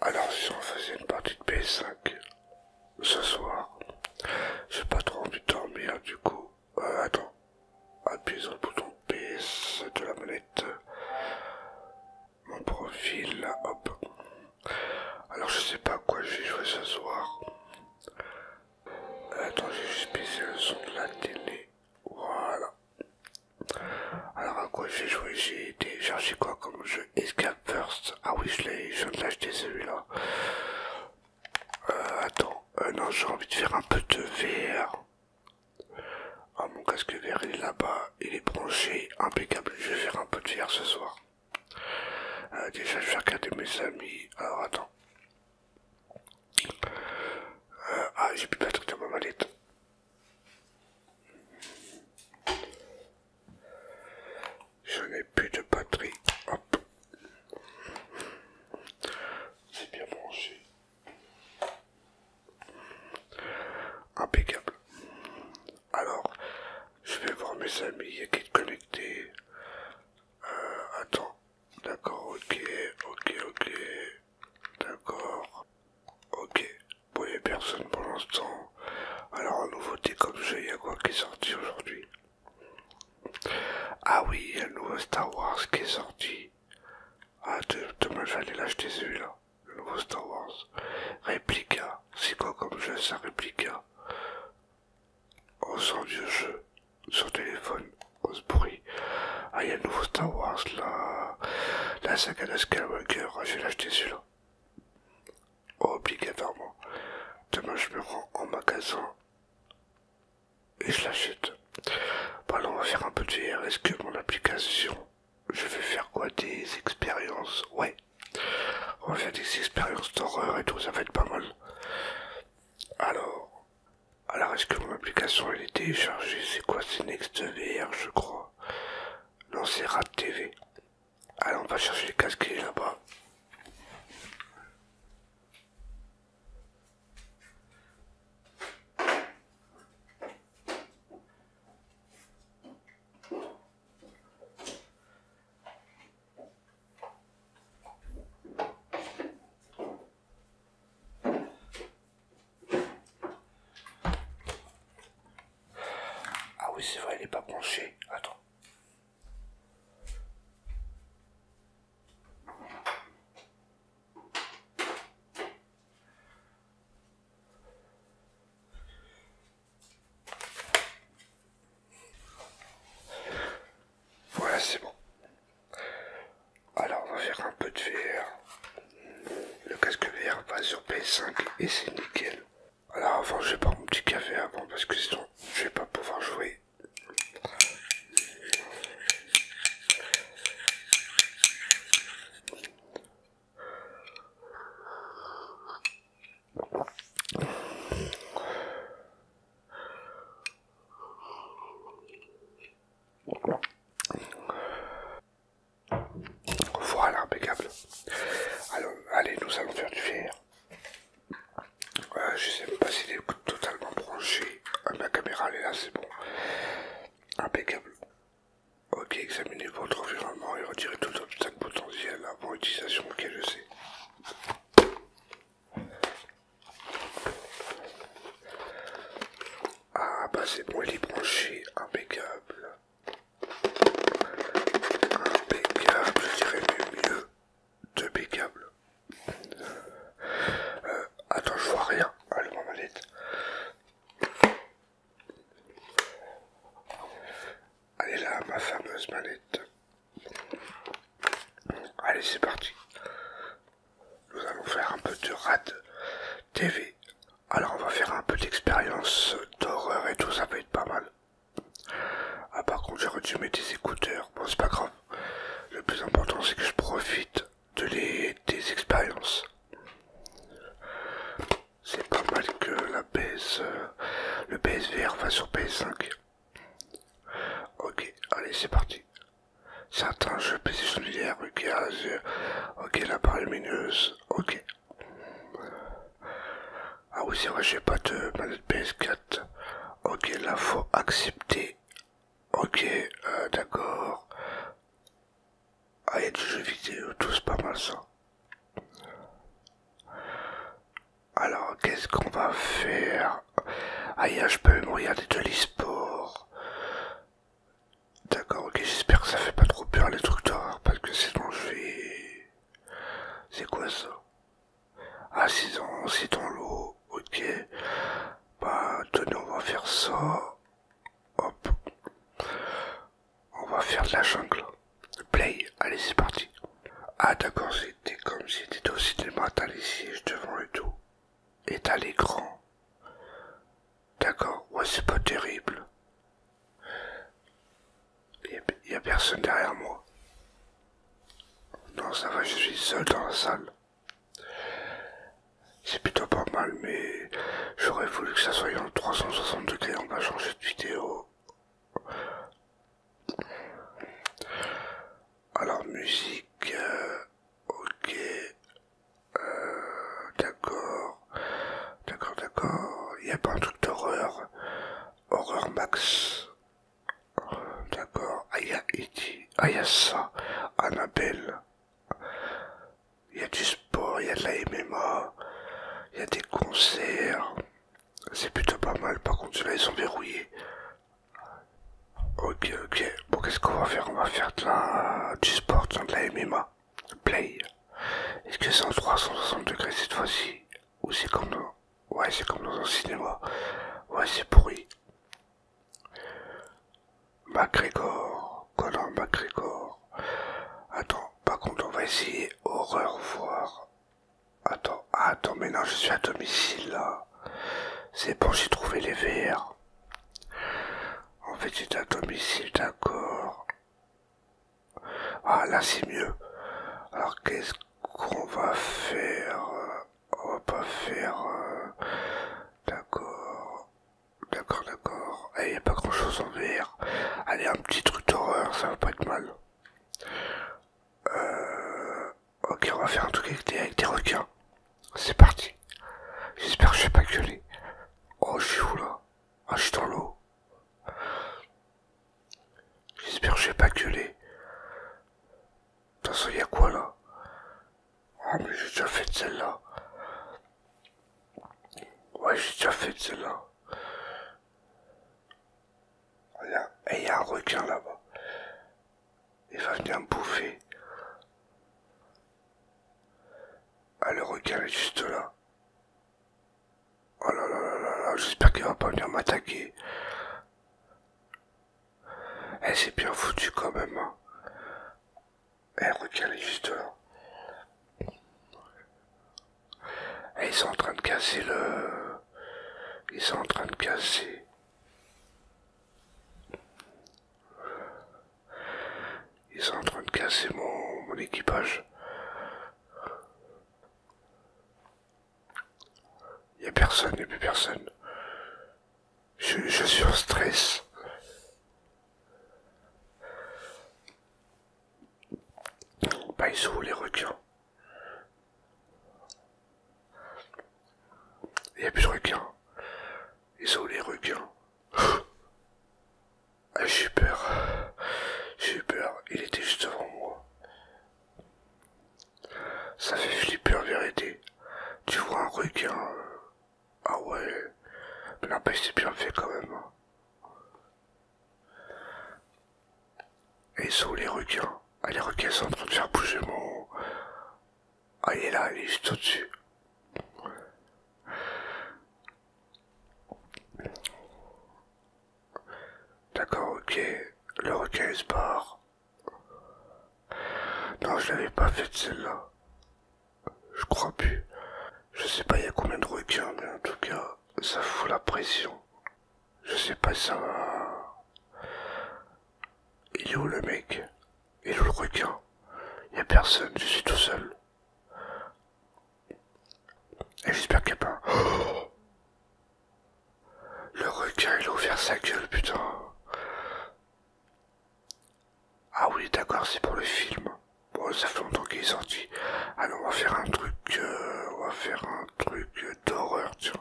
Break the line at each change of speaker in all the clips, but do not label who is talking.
Alors si on faisait une partie de PS5 ce soir. J'ai pas trop envie de dormir, du coup. Euh, attends. Appuyez sur le bouton PS de la manette. Mon profil, hop. Alors, je sais pas à quoi je vais jouer ce soir. Euh, attends, j'ai juste le son de la télé. Voilà. Alors, à quoi j'ai joué J'ai téléchargé quoi comme jeu Escape First. Ah oui, je l'ai, je viens de l'acheter celui-là. Euh, attends, euh, non, j'ai envie de faire un peu de verre Ah, mon casque VR il est là-bas, il est branché, impeccable. Je vais faire un peu de verre ce soir. Euh, déjà, je vais regarder mes amis. Alors, attends. ah, j'ai plus de batterie dans ma mallette. Je n'ai plus de batterie. Hop. C'est bien branché. Impeccable. Alors, je vais voir mes amis. Il y a qui est connecté. Euh, attends. D'accord, ok, ok, ok. D'accord. Ok. Vous voyez personne pour l'instant. Alors, en nouveauté comme jeu, il y a quoi qui est sorti aujourd'hui Ah oui, il y a le nouveau Star Wars qui est sorti. Ah, demain j'allais l'acheter celui-là, le nouveau Star Wars. Réplica, c'est quoi comme jeu ça, Réplica On sort du jeu, sur téléphone, on se bruit. Ah, il y a le nouveau Star Wars là, la saga de Skywalker, ah, je vais l'acheter celui-là. Obligatoirement. Demain, je me rends en magasin et je l'achète. Bon on va faire un peu de VR. Est-ce que mon application, je vais faire quoi Des expériences Ouais. On va faire des expériences d'horreur et tout, ça va être pas mal. Alors, alors est-ce que mon application elle est téléchargée C'est quoi C'est NextVR, je crois. Non, c'est Rat TV. Allez, on va chercher les casques là-bas. Ah oui, c'est vrai, il n'est pas branché. Attends. Voilà, c'est bon. Alors, on va faire un peu de VR. Le casque VR va sur PS5 et c'est nickel. Alors avant je vais prendre mon petit café avant parce que sinon je vais pas pouvoir jouer. Voilà, impeccable. Alors, allez, nous allons faire du fier. Euh, je sais même pas s'il est totalement branché. à ah, ma caméra, elle est là, c'est bon. Impeccable. Ok, examinez votre environnement et retirez tout obstacle potentiel avant utilisation. Ok, je sais. Ah, bah c'est bon, il est branché. Impeccable je dirais mieux de pécable. Euh, attends, je vois rien. Allez, ma mallette. Allez là, ma fameuse manette. Allez, c'est parti. Nous allons faire un peu de rad TV alors on va faire un peu d'expérience d'horreur et tout, ça va être pas mal. Ah par contre j'aurais dû mettre des écouteurs, bon c'est pas grave. Le plus important c'est que je profite de les, des expériences. C'est pas mal que la PS, euh, le PSVR va sur PS5. Ok, allez c'est parti. Certains jeux PC sont euh, ok, la lumineuse, ok. Ah oui, c'est vrai, j'ai pas de manette PS4. Ok, là, faut accepter. Ok, euh, d'accord. Ah, il y a du jeu vidéo, tout c'est pas mal ça. Alors, qu'est-ce qu'on va faire Ah, je peux même regarder de l'e-sport. D'accord, ok, j'espère que ça fait pas trop peur les trucs d'horreur parce que c'est je vais. C'est quoi ça Ah, c'est dans, l'eau, ok. Bah, tenez, on va faire ça. Hop. On va faire de la jungle. Play, allez, c'est parti. Ah, d'accord, c'était comme si c'était aussi cinéma, t'as les sièges devant et tout. Et t'as l'écran. D'accord, ouais, c'est pas terrible. Il n'y a personne derrière moi. Non, ça va, je suis seul dans la salle. C'est plutôt pas mal, mais j'aurais voulu que ça soit en 360 degrés. On va changer de vidéo. Alors, musique. Euh, ok. Euh, d'accord. D'accord, d'accord. Il n'y a pas un truc d'horreur. Horreur max. D'accord. Ah, il e ah, il y a ça. Annabelle. Il y a du sport, il y a de la MMA. Il y a des concerts. C'est plutôt pas mal. Par contre, là, ils sont verrouillés. Ok, ok. Bon, qu'est-ce qu'on va faire On va faire de du sport, de la MMA. Play. Est-ce que c'est en 360 degrés cette fois-ci Ou c'est comme dans... Ouais, c'est comme dans un cinéma. Ouais, c'est pourri. McGregor. Conor McGregor. Attends, pas contre, on va essayer horreur voir. Attends, ah, attends, mais non, je suis à domicile là. C'est bon, j'ai trouvé les VR. En fait, c'est à domicile, d'accord. Ah, là, c'est mieux. Alors, qu'est-ce qu'on va faire euh, On va pas faire... Euh, d'accord. D'accord, d'accord. Il eh, n'y a pas grand-chose en VR. Allez, un petit truc d'horreur, ça va pas être mal. Euh, ok, on va faire un truc avec tes avec des requins. C'est parti. J'espère que je vais pas gueuler. Oh, je suis où là Ah, je suis dans l'eau. J'espère que je vais pas gueuler. De toute façon, y a quoi là oh, mais j'ai déjà fait de celle-là. Ouais, j'ai déjà fait celle-là. Et il y a un requin là-bas. Il va venir me bouffer. Ah, le requin est juste là. Oh là là là là là, j'espère qu'il va pas venir m'attaquer. Eh, c'est bien foutu quand même. Hein. Eh, le requin est juste là. Eh, ils sont en train de casser le... Ils sont en train de casser. Ils sont en train de casser mon, équipage. Il n'y a personne, il n'y a plus personne. Je, suis en stress. Bah, ils sont où les requins Il n'y a plus de requins. Ils ont les requins. Ah, j'ai peur. J'ai peur. Il était juste devant moi. Ça fait flipper en vérité. Tu vois un requin. Euh, ah ouais. Mais n'empêche, c'est bien fait quand même. Hein. Et ils ont les requins. Ah, les requins sont en train de faire bouger mon, ah, il est là, il est juste au-dessus. D'accord, ok. Le requin se barre. Non, je l'avais pas fait celle-là. Je crois plus. Je sais pas il y a combien de requins, mais en tout cas, ça fout la pression. Je sais pas ça va... Il est où le mec Il est où le requin Il a personne, je suis tout seul. Et j'espère qu'il n'y a pas... le requin, il a ouvert sa gueule, putain. Ah oui, d'accord, c'est pour le film. Bon, ça fait longtemps qu'il est sorti. Alors, on va faire un truc... Euh, on va faire un truc d'horreur, tiens.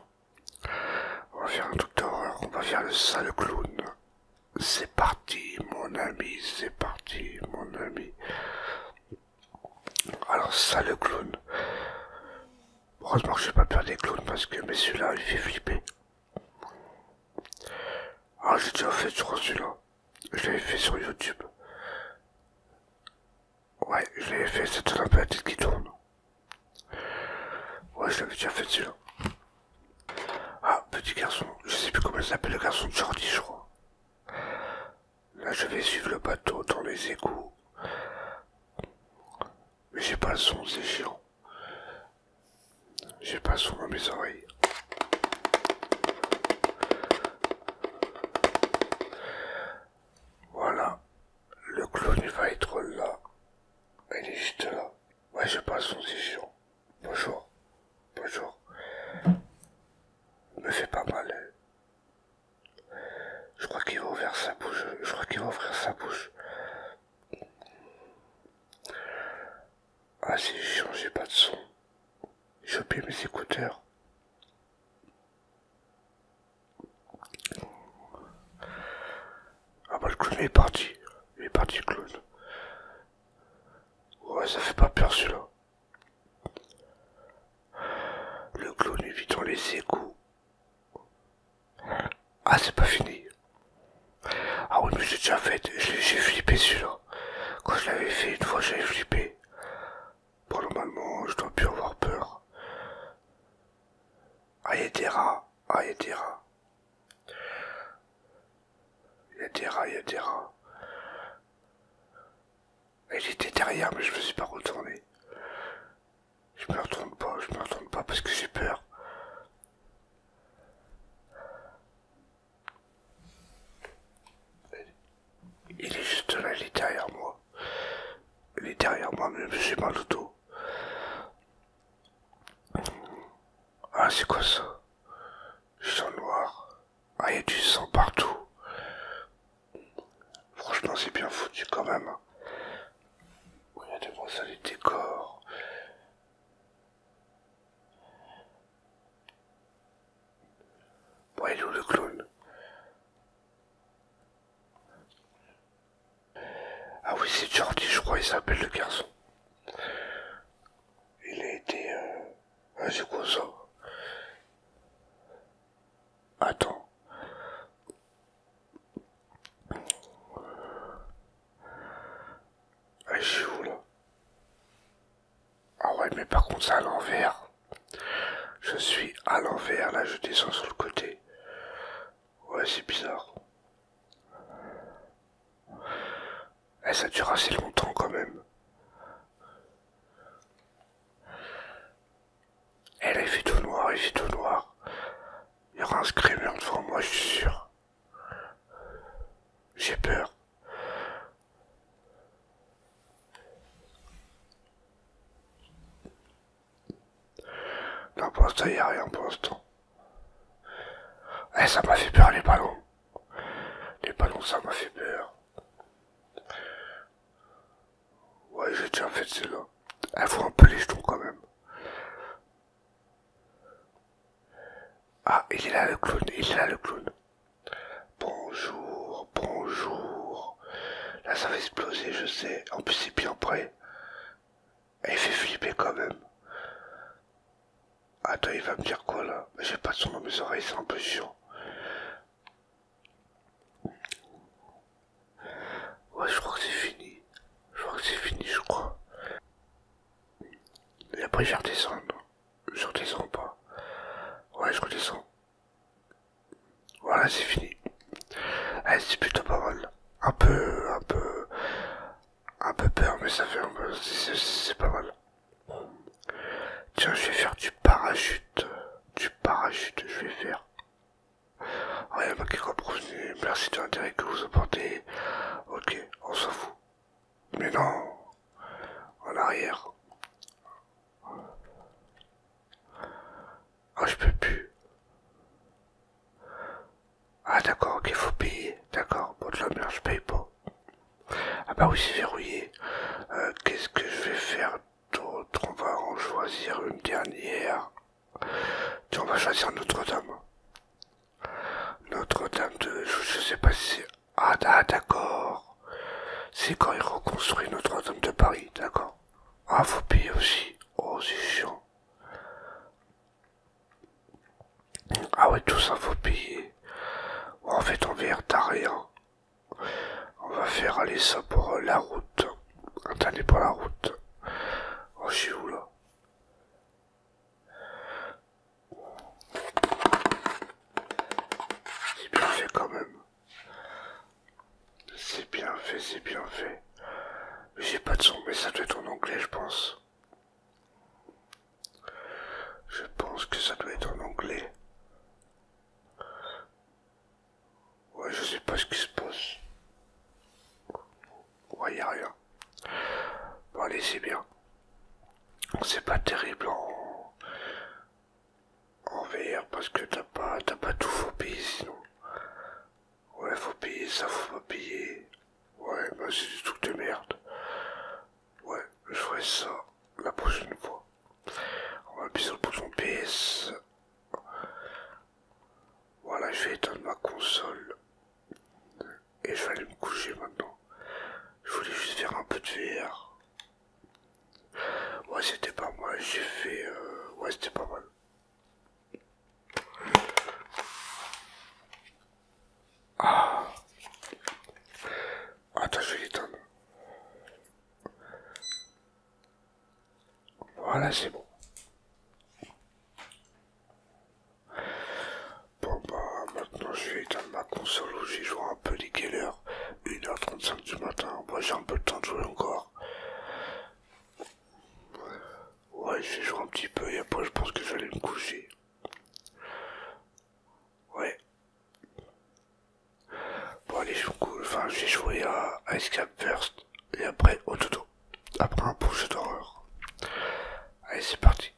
On va faire un truc d'horreur, on va faire le sale clown. C'est parti, mon ami, c'est parti, mon ami. Alors, sale clown. Heureusement que je n'ai pas peur des clowns parce que, mais celui-là, il fait flipper. Ah, j'ai déjà fait sur celui-là. Je l'avais fait sur YouTube. Ouais, je l'avais fait, c'est un peu la tête qui tourne. Ouais, je l'avais déjà fait celui-là. Ah, petit garçon, je sais plus comment il s'appelle, le garçon de Jordi, je crois. Là, je vais suivre le bateau dans les égouts. Mais j'ai pas le son, c'est chiant. J'ai pas le son dans mes oreilles. Voilà, le clown il va être là. Elle est juste là. Ouais, je le son chiant, Bonjour. Bonjour. Me fait pas mal. Je crois qu'il va ouvrir sa bouche. Je crois qu'il va ouvrir sa bouche. Ah, si chiant, j'ai pas de son. J'ai oublié mes écouteurs. Ah bah le clown il est parti. Il est parti le clown. Ouais ça fait pas peur celui-là. Le clown évitant les égouts. Ah c'est pas fini. Ah oui mais j'ai déjà fait, j'ai flippé celui-là. Quand je l'avais fait une fois j'avais flippé. Bon normalement je dois plus avoir peur y a des rats Il était derrière, mais je me suis pas retourné. Je me retourne pas, je me retourne pas parce que j'ai peur. Il est juste là, il est derrière moi. Il est derrière moi, mais je suis mal pas dos. Ah, c'est quoi ça Je noir. Ah, il y a du sang partout. Franchement, c'est bien foutu quand même. Regardez-moi ça, les décors. Bon, il est où le clown ah oui, c'est Jordi, je crois, il s'appelle le garçon. Il a été euh, ah, c'est quoi ça Attends. Ah, je suis où là Ah ouais, mais par contre, c'est à l'envers. Je suis à l'envers, là je descends sur le côté. Ouais, c'est bizarre. Eh, ça dure assez longtemps quand même. Et eh, là, il fait tout noir, il fait tout noir. Il y aura un screamer devant moi, je suis sûr. J'ai peur. Non, pour l'instant, il a rien pour l'instant. Eh, ça m'a fait peur, les ballons. Les ballons, ça m'a fait peur. Ouais, j'ai déjà fait celle-là. Elle eh, faut un peu les jetons, quand même. Ah, il est là, le clown. Il est là, le clown. Bonjour bonjour. Là, ça va exploser, je sais. En plus, c'est bien près. il fait flipper quand même. Attends, ah, il va me dire quoi là J'ai pas de son dans mes oreilles, c'est un peu chiant. Ouais, je crois que c'est fini. Je crois que c'est fini, je crois. Et après, je vais redescendre. Je redescends pas. Ouais, je redescends. Voilà, c'est fini. C'est plutôt pas mal. Un peu, un peu, un peu peur, mais ça fait un peu. C'est pas mal. Tiens, je vais faire du parachute. Du parachute, je vais faire. Rien ah, pas qui Merci de l'intérêt que vous apportez. Ok, on s'en fout. Mais non, en arrière. Ah, je peux plus. Ah, d'accord, ok, faut payer. D'accord, bon, de la merde, je paye pas. Ah, bah oui, c'est verrouillé. Euh, qu'est-ce que je vais faire d'autre On va en choisir une dernière. on va choisir Notre-Dame. Notre-Dame de. Je, sais pas si ah, ah d'accord. C'est quand ils reconstruit Notre-Dame de Paris, d'accord. Ah, faut payer aussi. Oh, c'est chiant. Ah ouais, tout ça, faut payer. en fait, on vient t'as rien. Hein. On va faire aller ça pour euh, la route. Attendez pour la route. Oh, je suis où là C'est bien fait quand même. C'est bien fait, c'est bien fait. J'ai pas de son, mais ça doit être en anglais, je pense. Je pense que ça doit être en anglais. Ouais, je sais pas ce qui se passe. Ouais, a rien. Bon, allez, c'est bien. C'est pas terrible en VR parce que t'as pas, t'as pas tout, faut payer sinon. Ouais, faut payer ça, faut pas payer. Ouais, bah c'est du truc de merde. Ouais, je ferai ça la prochaine fois. On va pisser sur le bouton PS. Voilà, je vais éteindre ma console. Et je vais aller me coucher maintenant. Je voulais juste faire un peu de verre Ouais, c'était pas mal, j'ai fait. Euh... Ouais, c'était pas mal. Ah. Attends, je vais l'éteindre. Voilà, c'est bon. Bon, bah, maintenant je vais éteindre ma console où j'ai joué un peu les killers 1h35 du matin. Moi j'ai un peu de temps de jouer encore. Ouais, je vais un petit peu et après je pense que j'allais me coucher. Ouais. Bon allez, je enfin, j'ai joué à Ice Cap First et après au toto Après un pouce d'horreur. Allez, c'est parti.